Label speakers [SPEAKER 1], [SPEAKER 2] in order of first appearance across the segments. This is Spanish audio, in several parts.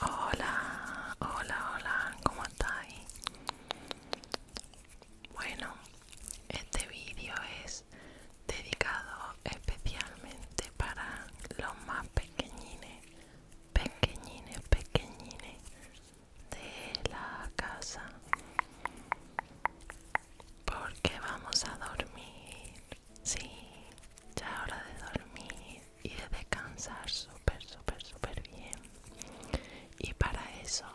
[SPEAKER 1] Hola, hola, hola, ¿cómo estáis? Bueno, este vídeo es dedicado especialmente para los más pequeñines, pequeñines, pequeñines de la casa porque vamos a dormir. Sí, ya hora de dormir y de descansar súper, súper, súper bien. Y para eso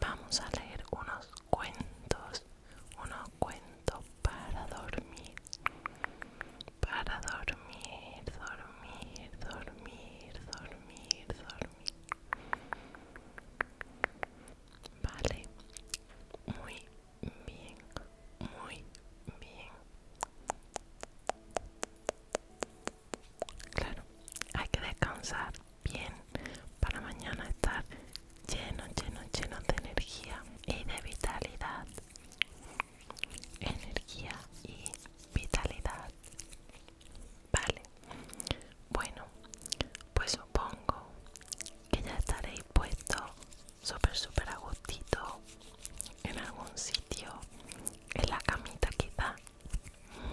[SPEAKER 1] vamos a leer unos cuentos, unos cuentos para dormir. Para dormir, dormir, dormir, dormir, dormir. Vale, muy bien, muy bien. Claro, hay que descansar bien para mañana estar lleno, lleno, lleno de energía y de vitalidad. Energía y vitalidad. Vale, bueno, pues supongo que ya estaréis puesto súper, súper a gustito en algún sitio, en la camita quizá,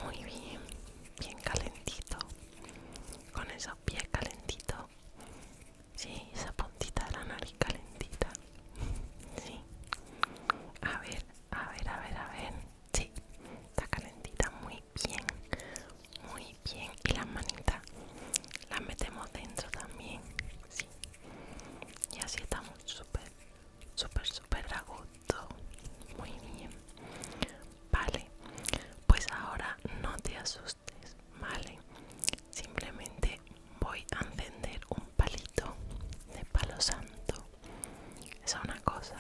[SPEAKER 1] muy bien, bien calentito, con esos pies calentitos, sí, esa puntita de la nariz calentita, sí, a ver, a ver, a ver, a ver, sí, está calentita, muy bien muy bien y la manitas la metemos dentro también y así estamos súper súper súper a gusto muy bien vale pues ahora no te asustes vale simplemente voy a encender un palito de palo santo es una cosa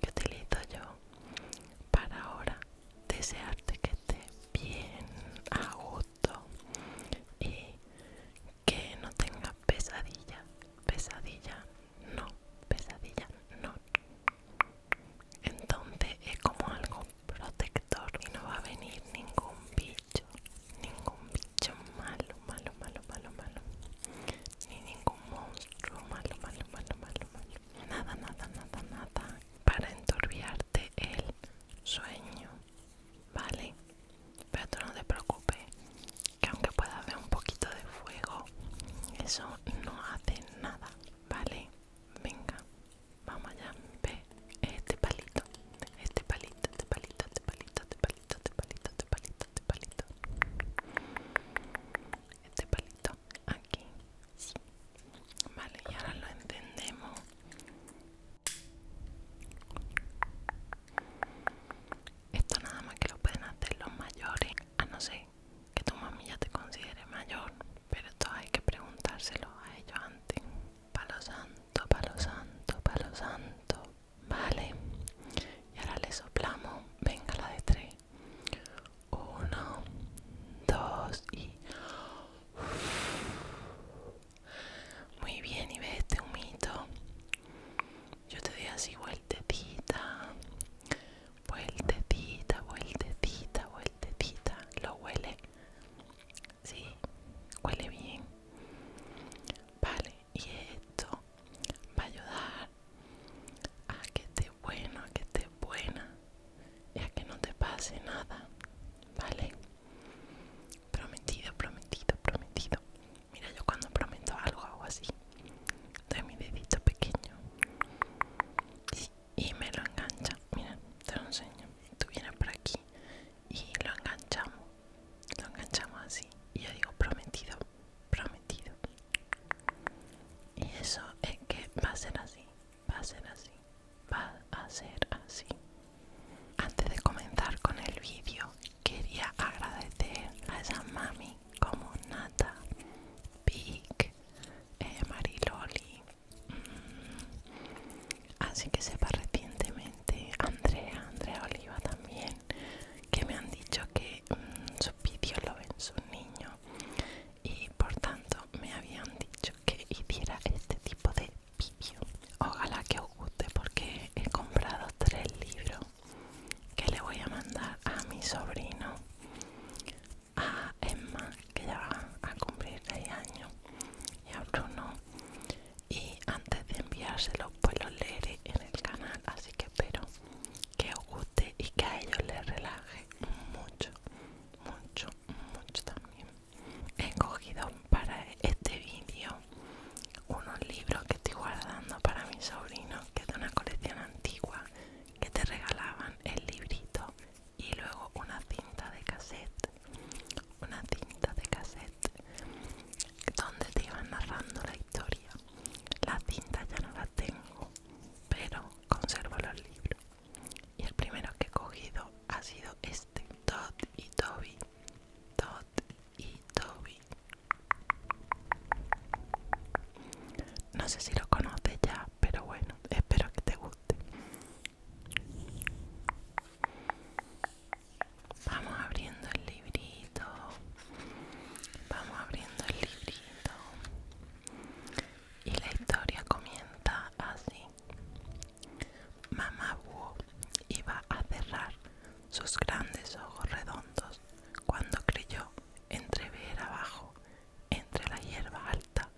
[SPEAKER 1] que utilizo yo para ahora desearte que estés bien a gusto y que no tengas pesadilla, pesadilla, no, pesadilla, no. Entonces es como algo protector y no va a venir ningún bicho, ningún bicho malo, malo, malo, malo, malo, ni ningún monstruo malo, malo, malo, malo, malo nada, nada, nada, nada para entorbiarte el sueño, ¿vale? Pero tú no te preocupes, que aunque pueda haber un poquito de fuego, eso no hace nada, ¿vale? Venga, vamos allá, ve este palito, este palito, este palito, este palito, este palito, este palito, este palito, este palito este palito aquí vale y ahora lo entendemos esto nada más que lo pueden hacer los mayores a no ser que tu mami ya te considere mayor pero esto hay que preguntárselo a ellos antes palo santo palo santo palo santo vale y ahora le soplamos venga la de tres uno, dos y... Muy bien, y ve este humito. Yo te doy así vueltecita, vueltecita, vueltecita, vueltecita. ¿Lo huele? Sí, huele bien. Vale, y esto va a ayudar a que esté bueno, a que esté buena y a que no te pase nada, ¿vale? Prometido, prometido, prometido. Mira, yo cuando prometo algo hago así, doy mi dedito pequeño y, me lo engancha. Mira, te lo enseño. Tú vienes por aquí y lo enganchamos, lo enganchamos así. Y yo digo prometido, prometido. Y eso es que va a ser así, va a ser así, va a ser así. Antes de comenzar con el vídeo, quería agradecer a esa mami como Nata, Pic, eh, Mariloli. Mm, así que sepa recientemente Andrea, Andrea Oliva también, que me han dicho que mm, sus vídeos lo ven sus niños y por tanto me habían dicho que hiciera este tipo de vídeo ojalá que os guste porque he comprado tres libros que le voy a mandar a mi sobrino a Emma que ya va a cumplir 6 años y a Bruno y antes de enviárselos pues los leeré en el canal así que espero que os guste y que a ellos les relaje mucho, mucho, mucho también. He cogido para este vídeo unos libros que estoy guardando para mi sobrino, que es de una colección antigua, que te regalaban el librito y luego una cinta de cassette, una cinta de cassette donde te iban narrando la historia. La cinta ya no la tengo pero conservo los libros. Y el primero que he cogido ha sido este, Tod y Toby. Tod y Toby. No sé si lo conoces ya, pero bueno, espero que te guste. Vamos abriendo el librito. Vamos abriendo el librito. Y la historia comienza así. Mamá Búho iba a cerrar sus grandes ojos redondos cuando creyó entrever abajo, entre la hierba alta,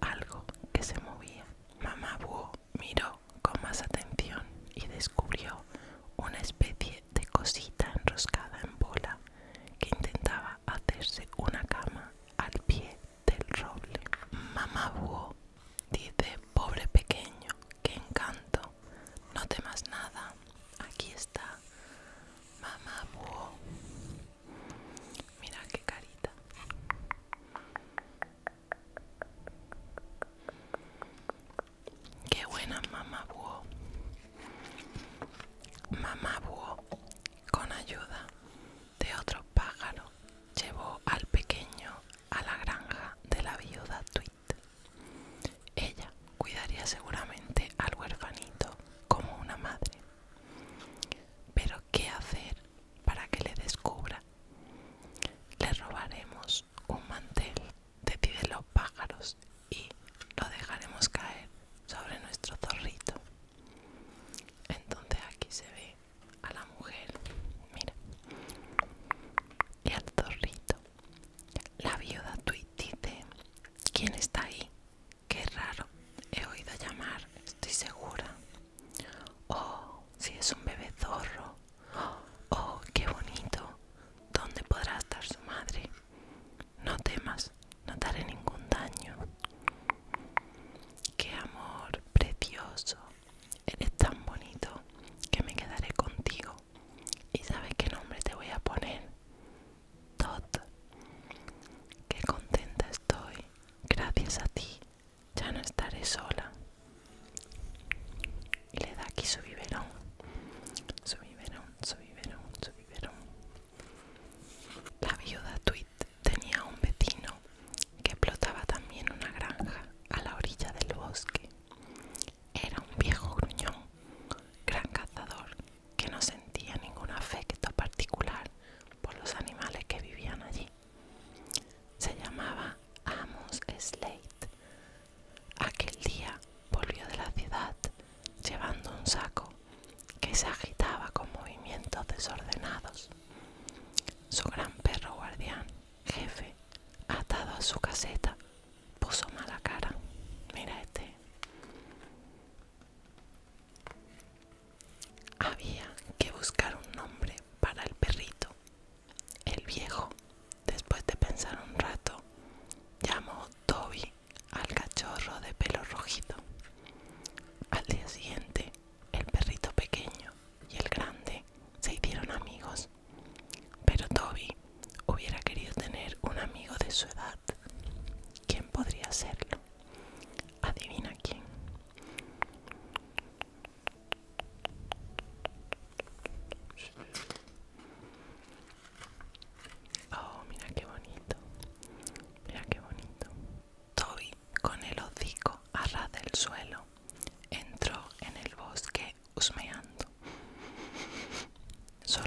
[SPEAKER 1] algo que se movía. Mamá Búho miró con más atención y descubrió una especie de cosita enroscada en bola que intentaba hacerse una cama al pie del roble. Mamá Búho dice, pobre pequeño, qué encanto, no temas nada, aquí está Mamá Búho. Mira qué carita. Qué buena Mamá Búho. Mamá con ayuda de otro pájaro, llevó al pequeño a la granja de la viuda Tweet. Ella cuidaría seguramente al huerfanito como una madre. Pero ¿qué hacer para que le descubra? Le robaremos un mantel, de de los pájaros y lo dejaremos caer sobre nuestro zorrito. Entonces aquí se ve a la mujer, mira, y al zorrito. La viuda Tweet dice, ¿quién está ahí? Qué raro, he oído llamar, estoy segura. Oh, si es un bebé zorro. Oh, qué bonito. ¿Dónde podrá estar su madre? No temas, no te haré ningún daño. Qué amor precioso. Eres tan bonito que me quedaré contigo. ¿Y sabes qué nombre te voy a poner? Tot. Qué contenta estoy. Gracias a ti ya no estaré sola. Y le da aquí su biberón. Su biberón, su biberón, su biberón. La viuda Tweed tenía un vecino que explotaba también una granja a la orilla del bosque. Era un viejo gruñón, gran cazador, que no sentía ningún afecto particular por los animales que vivían allí. Se llamaba Amos Slate. Aquel día volvió de la ciudad llevando un saco que se agitaba con movimientos desordenados. Su gran perro guardián, jefe, atado a su caseta, puso mala cara. Mira este. Había que buscar un nombre para el perrito. El viejo, después de pensar un rato, llamó Toby al cachorro de pelo rojito Al día siguiente, el perrito pequeño y el grande se hicieron amigos, pero Toby hubiera querido tener un amigo de su edad. ¿Quién podría serlo? Adivina quién. Oh, mira qué bonito. Mira qué bonito. Toby, con el hocico a ras del suelo, entró en el bosque husmeando.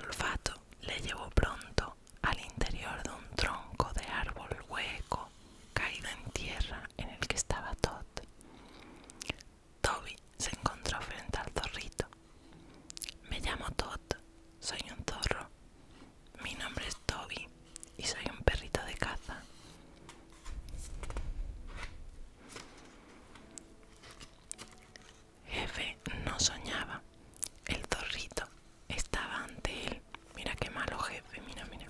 [SPEAKER 1] olfato le llevó pronto al interior de un tronco de árbol hueco caído en tierra en el que estaba Todd. Toby se encontró frente al zorrito. Me llamo Todd, soy un zorro. Mi nombre es Toby y soy un perrito de caza. Jefe no soñaba. El zorrito estaba ante él. Mira qué malo jefe, mira, mira.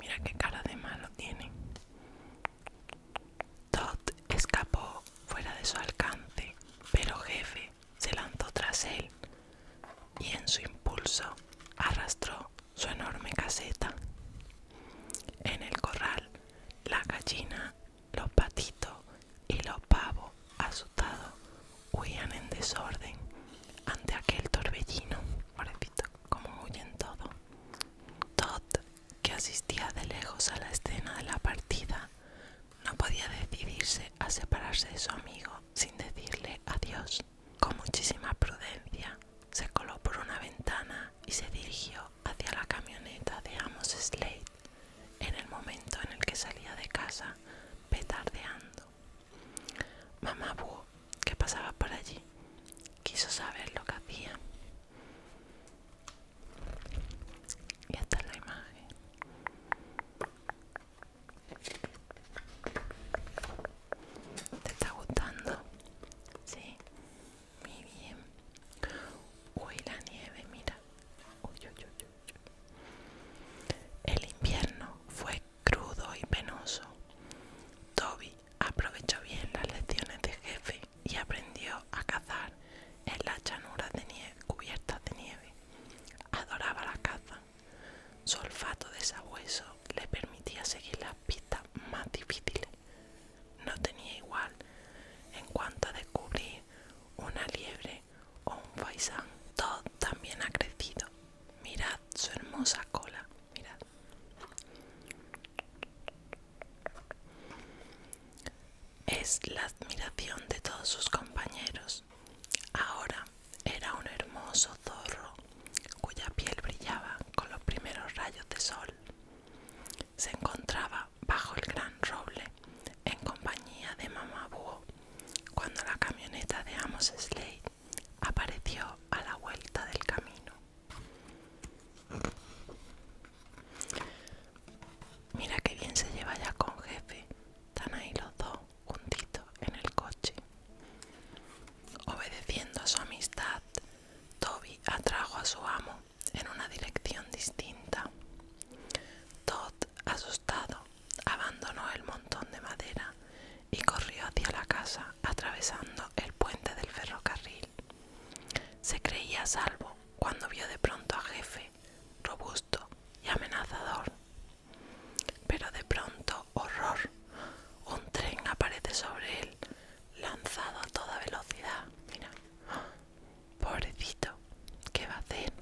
[SPEAKER 1] Mira qué cara de malo tiene. Todd escapó fuera de su alcance, pero jefe se lanzó tras él y en su impulso arrastró su enorme caseta. En el corral, la gallina, los patitos y los pavos asustados huían en desorden ante aquel torbellino. Pobrecito, como huyen todo. Todd, que asistía de lejos a la escena de la partida, no podía decidirse a separarse de su amigo sin decirle adiós. Con muchísima prudencia se coló por una ventana y se dirigió hacia la camioneta de Amos Slade en el momento en el que salía de casa petardeando. Mamá Búho, que pasaba por allí, quiso saber lo que hacía. Y esta es la imagen. ¿Te está gustando? Sí, muy bien. Uy, la nieve, mira. El invierno fue crudo y penoso. Toby aprovechó bien las lecciones de jefe y aprendió a cazar en las llanuras de nieve, cubiertas de nieve. Adoraba la caza. Su olfato de sabueso le permitía seguir las pistas más difíciles. No tenía igual en cuanto a descubrir una liebre o un faisán. todo también ha crecido. Mirad su hermosa cola. Mirad. Es la admiración de todos sus compañeros Ahora era un hermoso zorro cuya piel brillaba con los primeros rayos de sol. Se encontraba bajo el gran roble en compañía de Mamá cuando la camioneta de Amos Slade apareció a la vuelta del camino. Mira qué bien se lleva ya con jefe, están ahí los dos juntito en el coche. Obedeciendo a su amistad, Toby atrajo a su amo en una dirección distinta. Tod, asustado, abandonó el montón de madera y corrió hacia la casa atravesando el puente del ferrocarril. Se creía salvo cuando vio de pronto a Jefe, robusto y amenazador, pero de pronto, horror, un tren aparece sobre él, lanzado a toda velocidad. Mira, pobrecito, ¿qué va a hacer?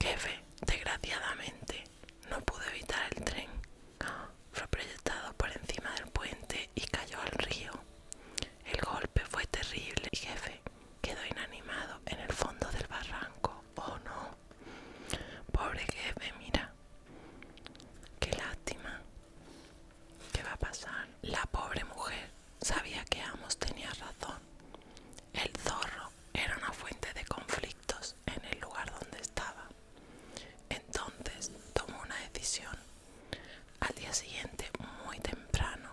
[SPEAKER 1] Jefe, desgraciadamente, no pudo evitar el tren. Fue proyectado por encima del puente y cayó al río. El golpe fue terrible jefe Quedó inanimado en el fondo del barranco. Oh no. Pobre jefe, mira. Qué lástima. ¿Qué va a pasar? La pobre mujer sabía que Amos tenía razón. El zorro era una fuente de conflictos en el lugar donde estaba. Entonces tomó una decisión. Al día siguiente, muy temprano,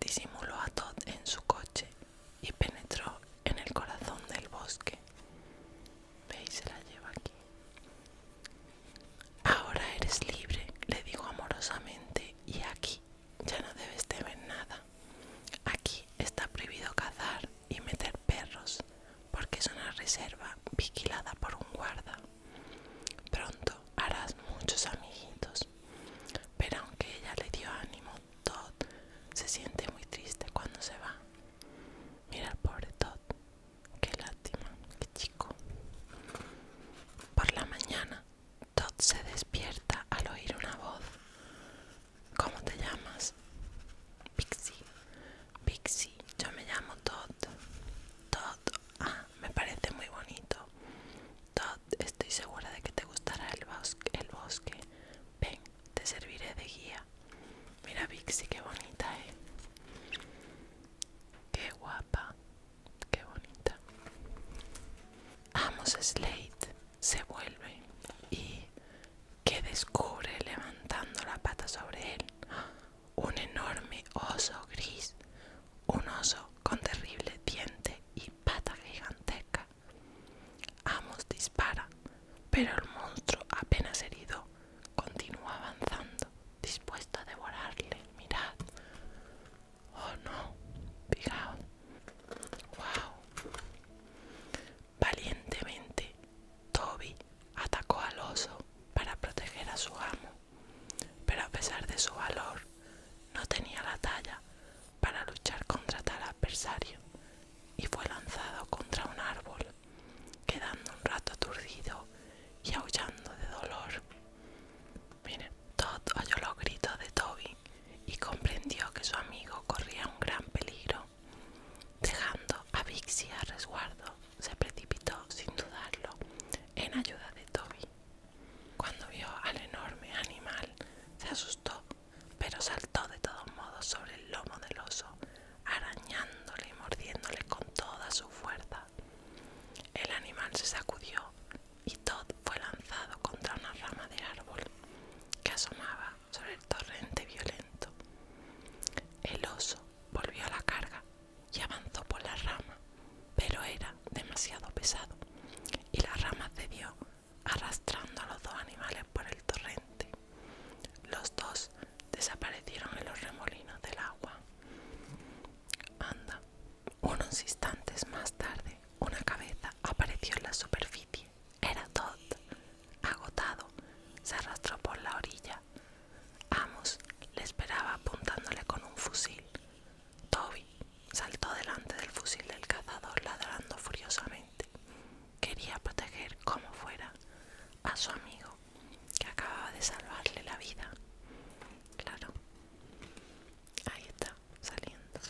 [SPEAKER 1] disimuló a Todd en su coche y penetró en el corazón del bosque. Veis, se la lleva aquí. Ahora eres libre, le digo amorosamente, y aquí ya no debes temer nada. Aquí está prohibido cazar y meter perros, porque es una reserva vigilada por un guarda. Pronto harás muchos amiguitos pero aunque ella le dio ánimo, Todd se siente muy triste cuando se va. Mira al pobre Todd, qué lástima, qué chico. Por la mañana, Todd se despierta al oír una voz. ¿Cómo te llamas? Pixie. Pixie, yo me llamo Todd. Todd, ah, me parece muy bonito. Todd, estoy segura de que te gustará el bosque. Ven, te serviré de guía. Mira, Vixi, qué bonita, es ¿eh? Qué guapa, qué bonita. Amos Slate se vuelve y que descubre levantando la pata sobre él un enorme oso gris, un oso con terrible diente y pata gigantesca Amos dispara, pero el monstruo, apenas herido, continúa avanzando, dispuesto a devorarle. Mirad. Oh no, fijaos. Wow. Valientemente, Toby atacó al oso para proteger a su amo, pero a pesar de su valor, no tenía la talla para luchar contra tal adversario y fue lanzado contra un árbol, quedando un rato aturdido y aullando de dolor. todo Todd oyó los gritos de Toby y comprendió que su amigo corría un gran peligro. Dejando a Vixie a resguardo, se precipitó sin dudarlo en ayuda de Toby. Cuando vio al enorme animal, se asustó, pero saltó de todos modos sobre el lomo del oso, arañándole y mordiéndole con toda su fuerza. El animal se sacudió y Todd fue lanzado contra una rama de árbol que asomaba sobre el torrente violento. El oso volvió a la carga y avanzó por la rama, pero era demasiado pesado y la rama cedió arrastrando a los dos animales por el torrente. Los dos desaparecieron en los remolinos del agua. Anda, unos instantes más tarde, una cabeza apareció en la superficie. Era Todd. Agotado, se arrastró por la orilla. Amos le esperaba apuntándole con un fusil. Toby saltó delante del fusil del cazador ladrando furiosamente. Quería proteger como fuera a su amigo que acababa de salvarle la vida. Claro. Ahí está, saliendo.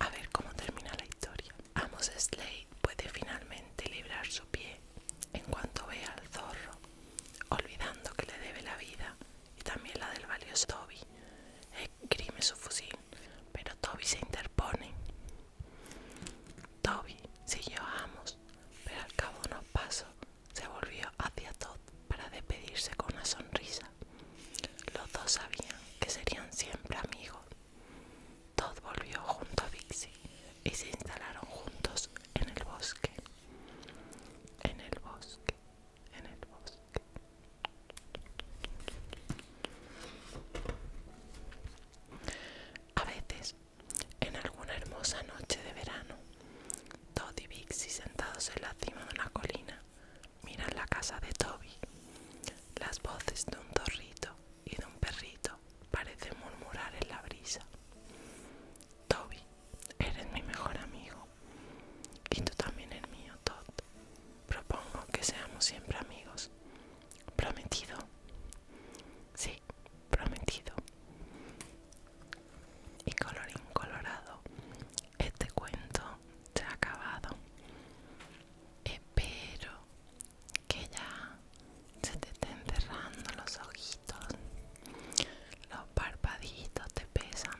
[SPEAKER 1] A ver cómo termina la historia. Amos Slade puede finalmente librar su pie en cuanto ve al zorro, olvidando que le debe la vida y también la del valioso Toby. Esgrime su fusil, pero Toby se interpone. Toby siguió a Amos, pero al cabo de pasó se volvió hacia Todd para despedirse con una sonrisa. Los dos sabían que serían siempre amigos. Todd volvió junto a Vixie y se instalaron juntos en el bosque. En el bosque, en el bosque. A veces, en alguna hermosa noche de verano, Todd y Bixy sentados en la cima de una colina miran la casa de Toby. Las voces de un torrito y de un perrito parecen murmurar en la brisa. Toby Eres mi mejor amigo y tú también el mío, Todd. Propongo que seamos siempre amigos. ¿Prometido? Sí, prometido. Y colorín colorado, este cuento se ha acabado. Espero que ya se te estén cerrando los ojitos. Los parpaditos te pesan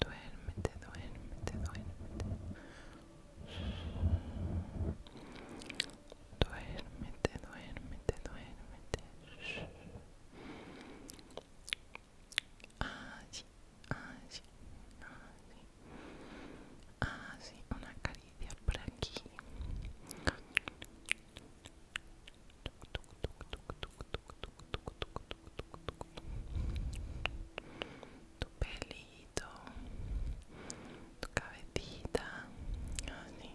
[SPEAKER 1] Duérmete, duérmete, duérmete. Duérmete, duérmete, duérmete. Así, así, así. Así, una caricia por aquí tu pelito, tu cabecita, así.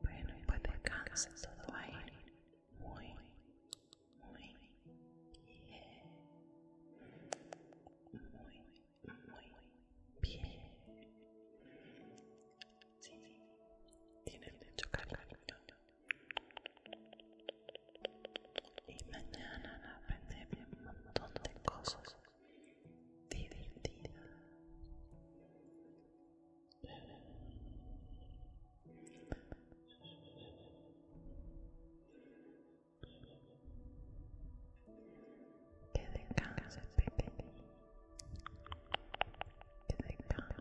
[SPEAKER 1] Bueno, y pues descansa todo ahí. Muy, muy, bien. Muy, muy bien. Sí, sí tiene el techo cargado. Y mañana aprenderé un montón de cosas divertida. Que descanses, pequeño. Que descanses.